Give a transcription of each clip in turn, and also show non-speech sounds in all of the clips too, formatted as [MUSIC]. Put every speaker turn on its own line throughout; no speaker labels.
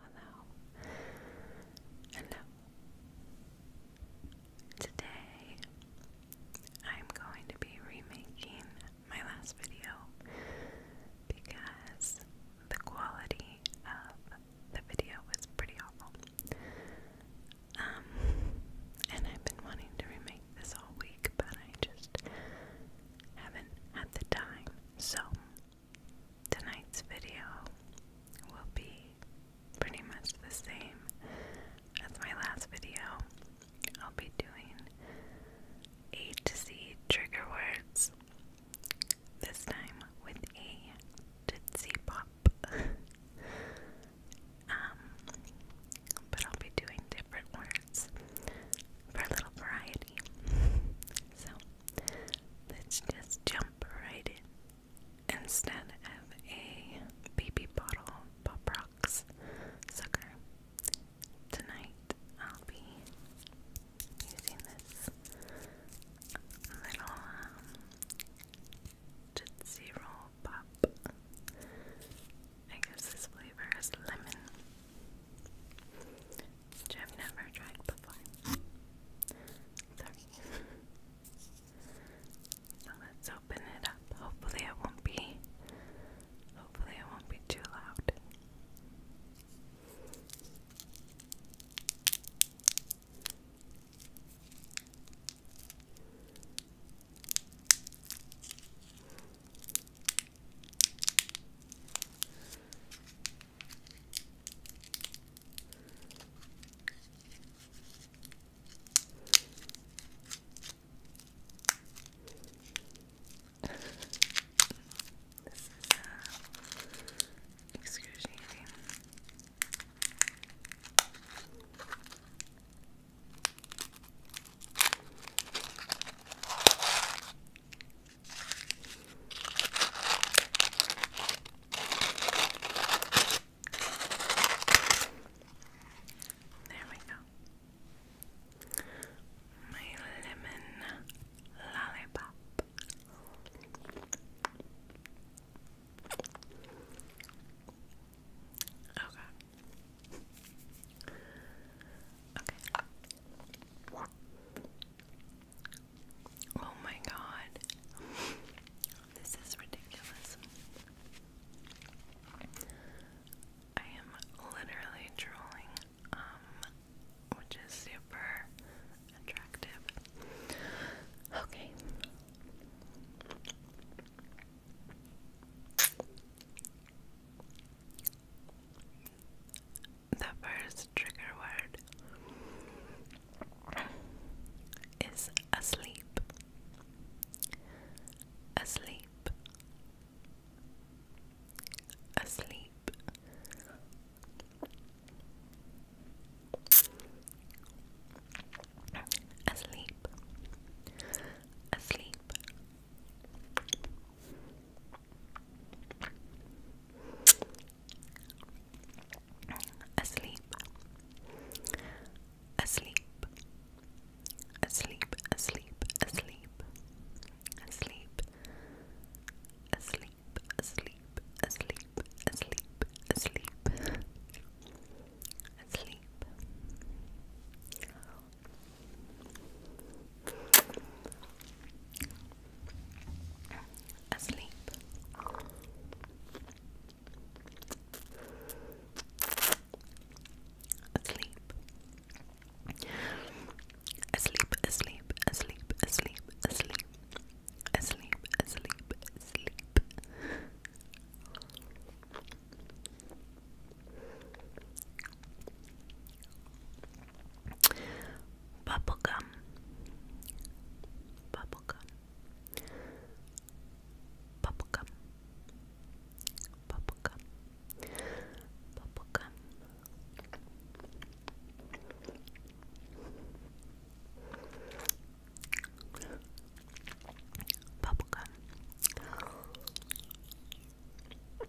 hello, hello. Today, I'm going to be remaking my last video because the quality of the video was pretty awful. Um, and I've been wanting to remake this all week, but I just haven't had the time. So, Tonight's video will be pretty much the same as my last video. I'll be doing A to Z trigger words, this time with a Tootsie Pop. [LAUGHS] Um, but I'll be doing different words for a little variety. [LAUGHS] So, Let's just jump right in. Instead of a baby bottle pop rocks sucker, tonight I'll be using this little um, Roll Pop. I guess this flavor is lemon. I've never tried before. Sorry. [LAUGHS] so let's open it up. Hopefully it won't be hopefully it won't be too loud this is uh, excruciating. There we go. My lemon lollipop. Oh, okay. Okay. Oh my god. [LAUGHS] This is ridiculous. I am literally drooling, um, which is super attractive. Okay the first trigger word is asleep. Asleep. Asleep. Asleep. Asleep. Asleep, asleep, asleep, asleep, asleep, asleep, asleep, asleep, asleep, asleep, asleep, asleep asleep. Asleep. Asleep, asleep, asleep, asleep, asleep. Asleep, asleep, asleep bubblegum bubblegum bubblegum bubblegum bubblegum bubblegum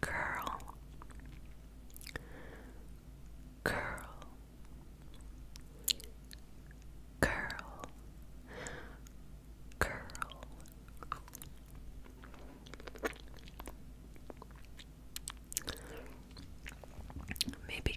Curl, curl, curl, curl. Maybe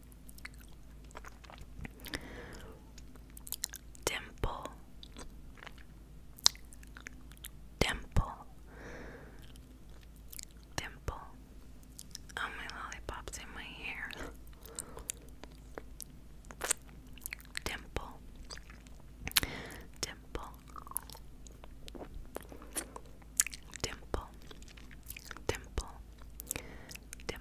Dimple, dimple, dimple. Oh, my lollipop's in my hair. Dimple, dimple, dimple, dimple, dimple,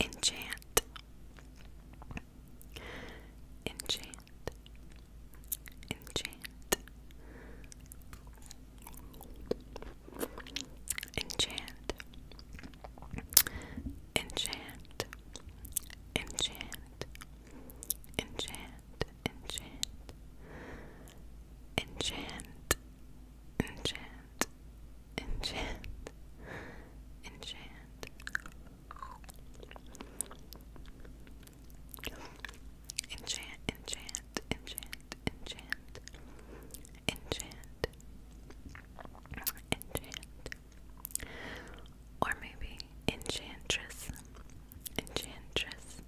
Enchant, enchant, enchant, enchant, enchant, enchant, enchant, enchant enchant, enchant, enchant, enchant. Enchant, enchant, enchant, enchant, enchant, enchant, or maybe enchantress, enchantress,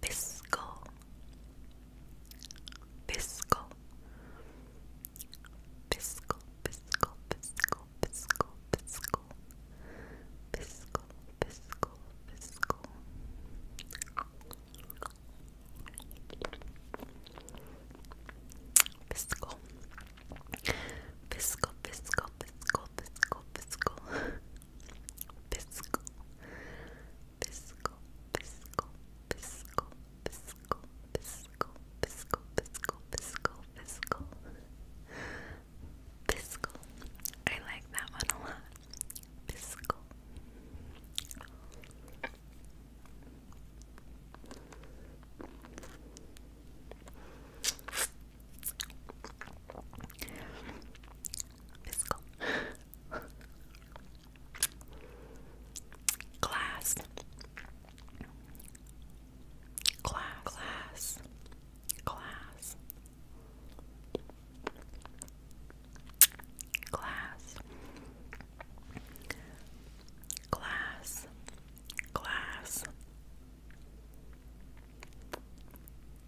fiscal, fiscal, fiscal, fiscal, fiscal, fiscal, fiscal, fiscal, fiscal, fiscal. Fiscal, fiscal, fiscal, fiscal, fiscal, fiscal, fiscal, fiscal, Fiscal, fiscal, fiscal, fiscal, fiscal, fiscal, fiscal, fiscal, fiscal, fiscal. I like that one a lot. Fiscal. Fiscal. Glass. Glass. Glass. Glass. Glass. Glass. Glass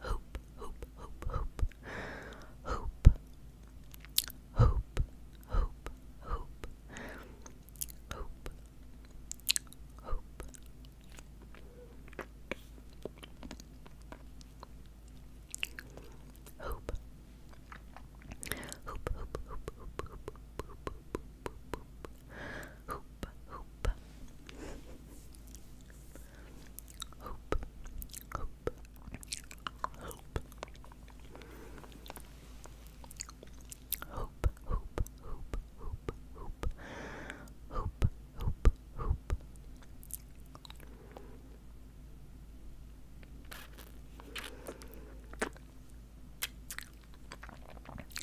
Hoop, hoop, hoop, hoop. Hoop, hoop, hoop, hoop. Hoop, hoop. Hoop. Hoop, hoop, hoop, hoop, hoop, hoop, hoop, hoop, hoop, hoop, hoop, hoop, hoop, hoop, hoop, hoop, hoop, hoop, hoop, hoop, hoop, hoop, hoop, hoop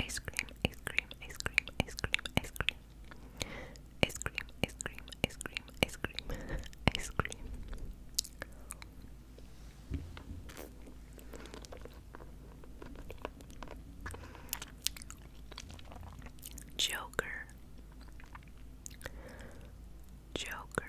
Ice cream, ice cream, ice cream, ice cream, ice cream. Ice cream, ice cream, ice cream, ice cream, [LAUGHS] ice cream. Joker, Joker,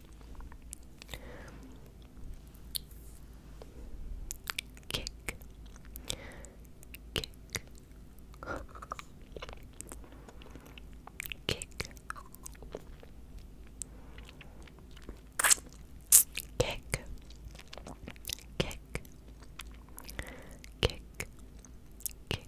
Kick. Kick. Kick. Kick. Kick. Kick. Kick. Kick. Kick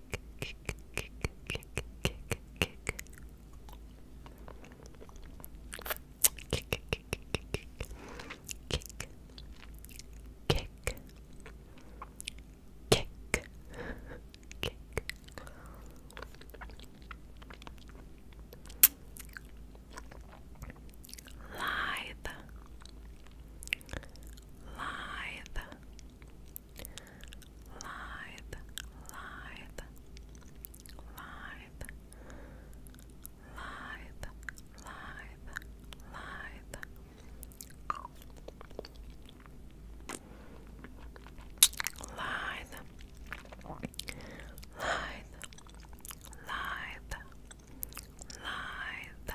kick, kick, kick, kick, kick, kick. Kick, kick, kick, kick, kick, kick, kick, kick, kick. Lithe, lithe, live, live, live, live, live, live. Live, live, live, live,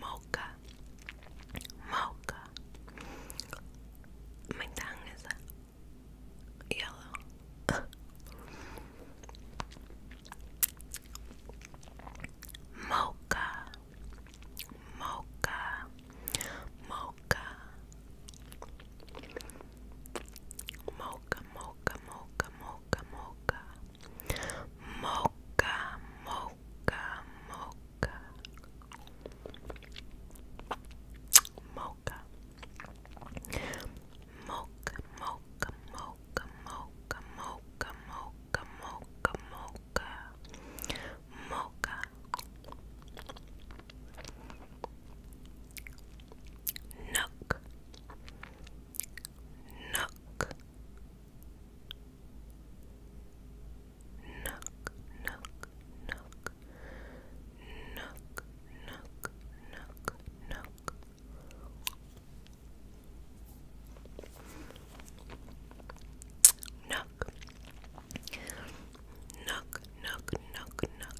Mocha. Mocha. My tongue is yellow. Mocha. Mocha. Mocha mocha, mocha, mocha, mocha, mocha, mocha, mocha, mocha, mocha, mocha, mocha, mocha, mocha, mocha, mocha, mocha, mocha, mocha. Nook, Nook. Nook, nook, nook. Nook, nook, nook, nook. Nook. Nook, nook, nook, nook.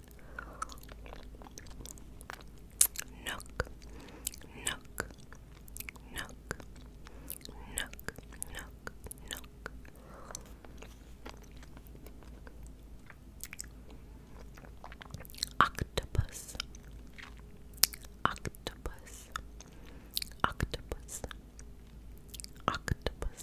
nook, nook, nook, nook, nook, nook, Octopus, octopus, octopus, octopus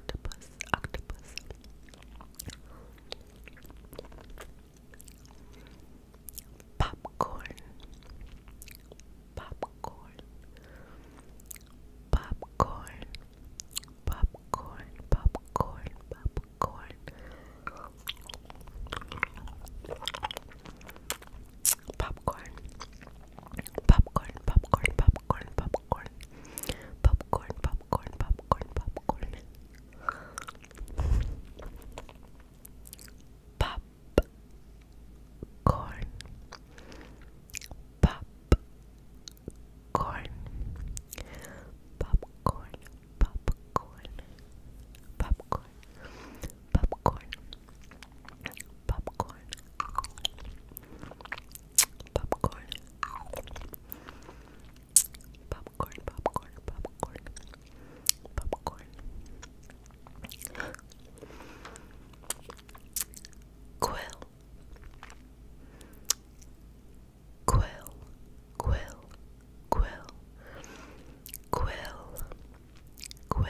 octopus, octopus. Popcorn, popcorn, popcorn, popcorn, popcorn, popcorn. Popcorn, popcorn, popcorn, popcorn, popcorn, popcorn, popcorn, popcorn, popcorn, pop, corn, pop, corn, popcorn, popcorn, popcorn, popcorn. Popcorn. Popcorn. Popcorn, popcorn, popcorn. Popcorn. Quill. Quill. Quill. Quill. Quill. Quill.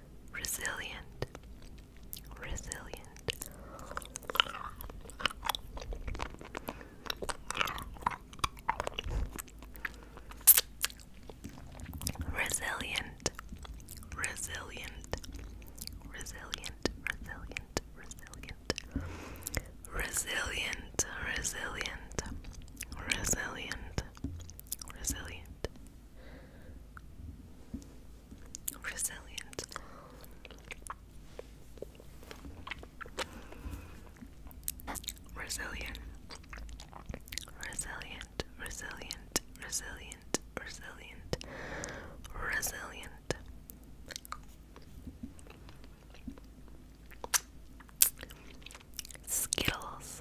resilient, resilient. Resilient, resilient, resilient, resilient, resilient, resilient, resilient, resilient, resilient, Resilient. Resilient. Resilient. Resilient. Resilient. Resilient. Skittles.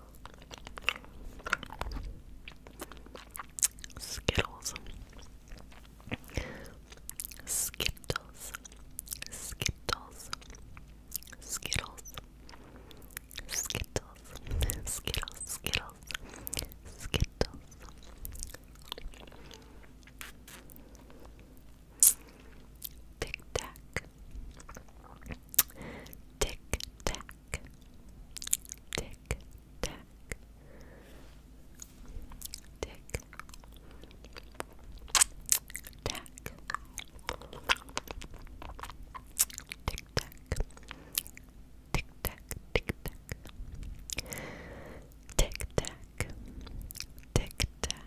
Skittles. Skittles. Skittles. Skittles. Skittles. Skittles. Skittles. Skittles. Tic Tac tack, tick tack, tick tack, tick tack, tick tack. Tick tack, tick tack, tick tack, tick tack,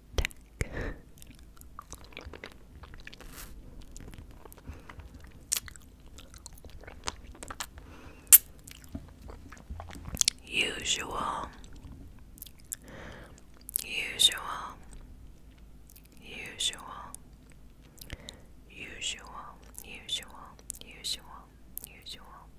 tack. Usual, usual, usual, usual, usual, usual, usual.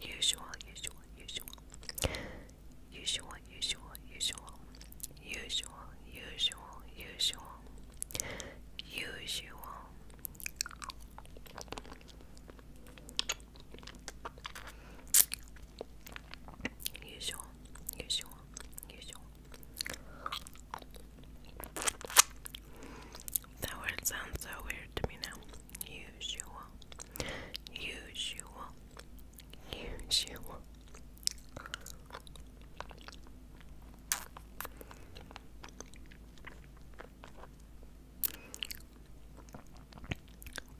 Usual, usual, usual. Usual, usual, usual. Usual, usual, usual. Usual. Usual, usual, That word sounds so weird to me now usual, usual, usual.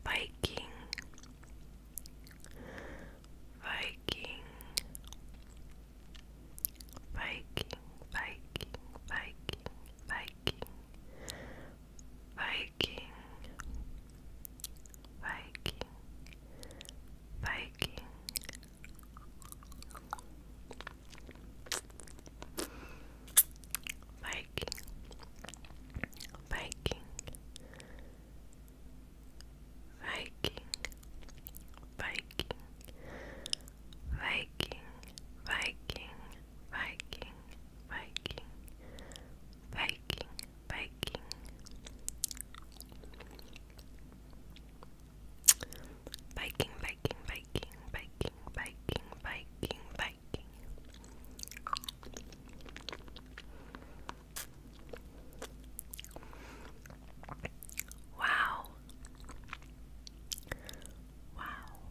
Viking, Viking, Viking, Viking, Viking, Viking, Viking, Viking, Viking. Viking, Viking, Viking, Viking, Viking, Viking, Viking, Viking, Viking, Viking. Viking, Viking, Viking, Viking, Viking, Viking, Viking. Wow. Wow.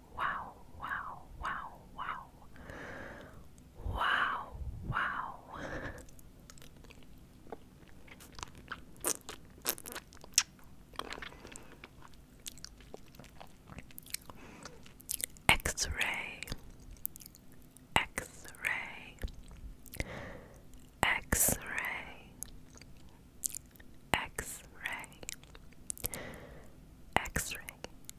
wow, wow, wow, wow. Wow, wow. X-ray, X-ray, X-ray, X-ray, X-ray,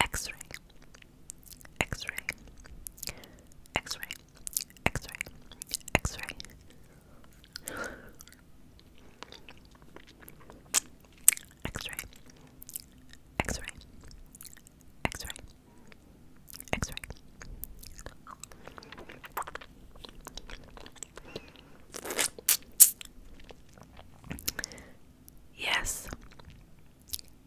X ray, X ray, X ray, X ray, X ray, X ray, X ray, X ray, X ray. Yes.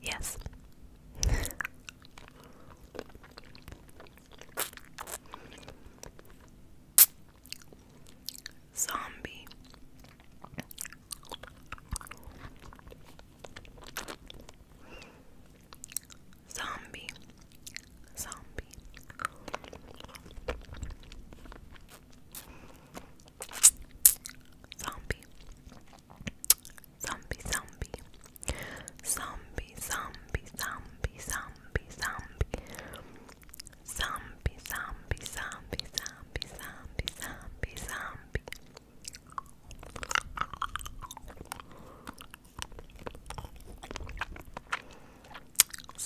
Yes. Zombie. Zombie. Zombie. Zombie. Zombie, zombie. Zombie, zombie, zombie, zombie, zombie. Zombie, zombie, zombie, zombie, zombie, zombie, zombie.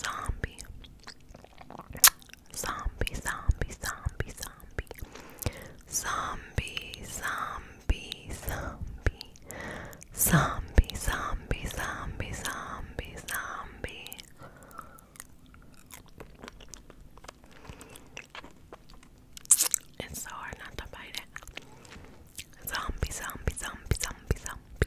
Zombie. Zombie, zombie, zombie, zombie. Zombie, zombie, zombie. Zombie, zombie, zombie, zombie, zombie. It's so hard not to bite it. Zombie, zombie, zombie, zombie, zombie.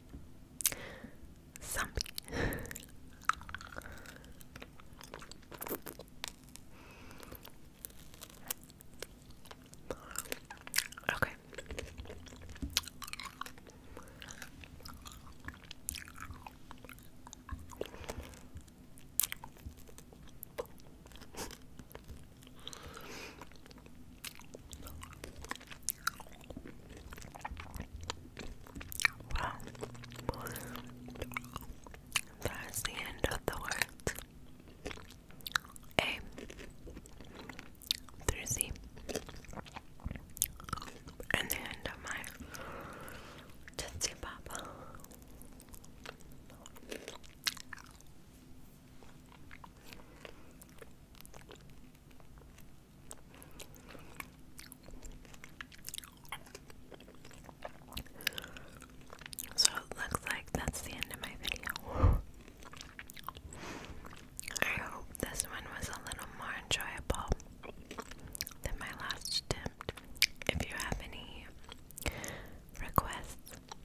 Zombie. okay. Wow. That's the end of the words. A through Z. And the end of my Tootsie so looks like that's the end of my video. I hope this one was a little more enjoyable than my last attempt. If you have any requests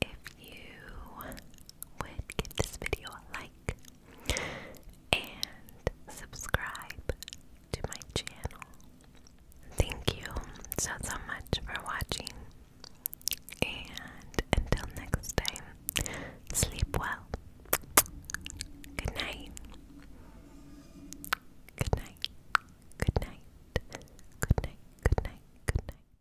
if you would give this video a like and subscribe to my channel. Thank you so, so much for watching. And until next time, sleep well. Good night. Good night. Good night. Good night. Good night. Good night.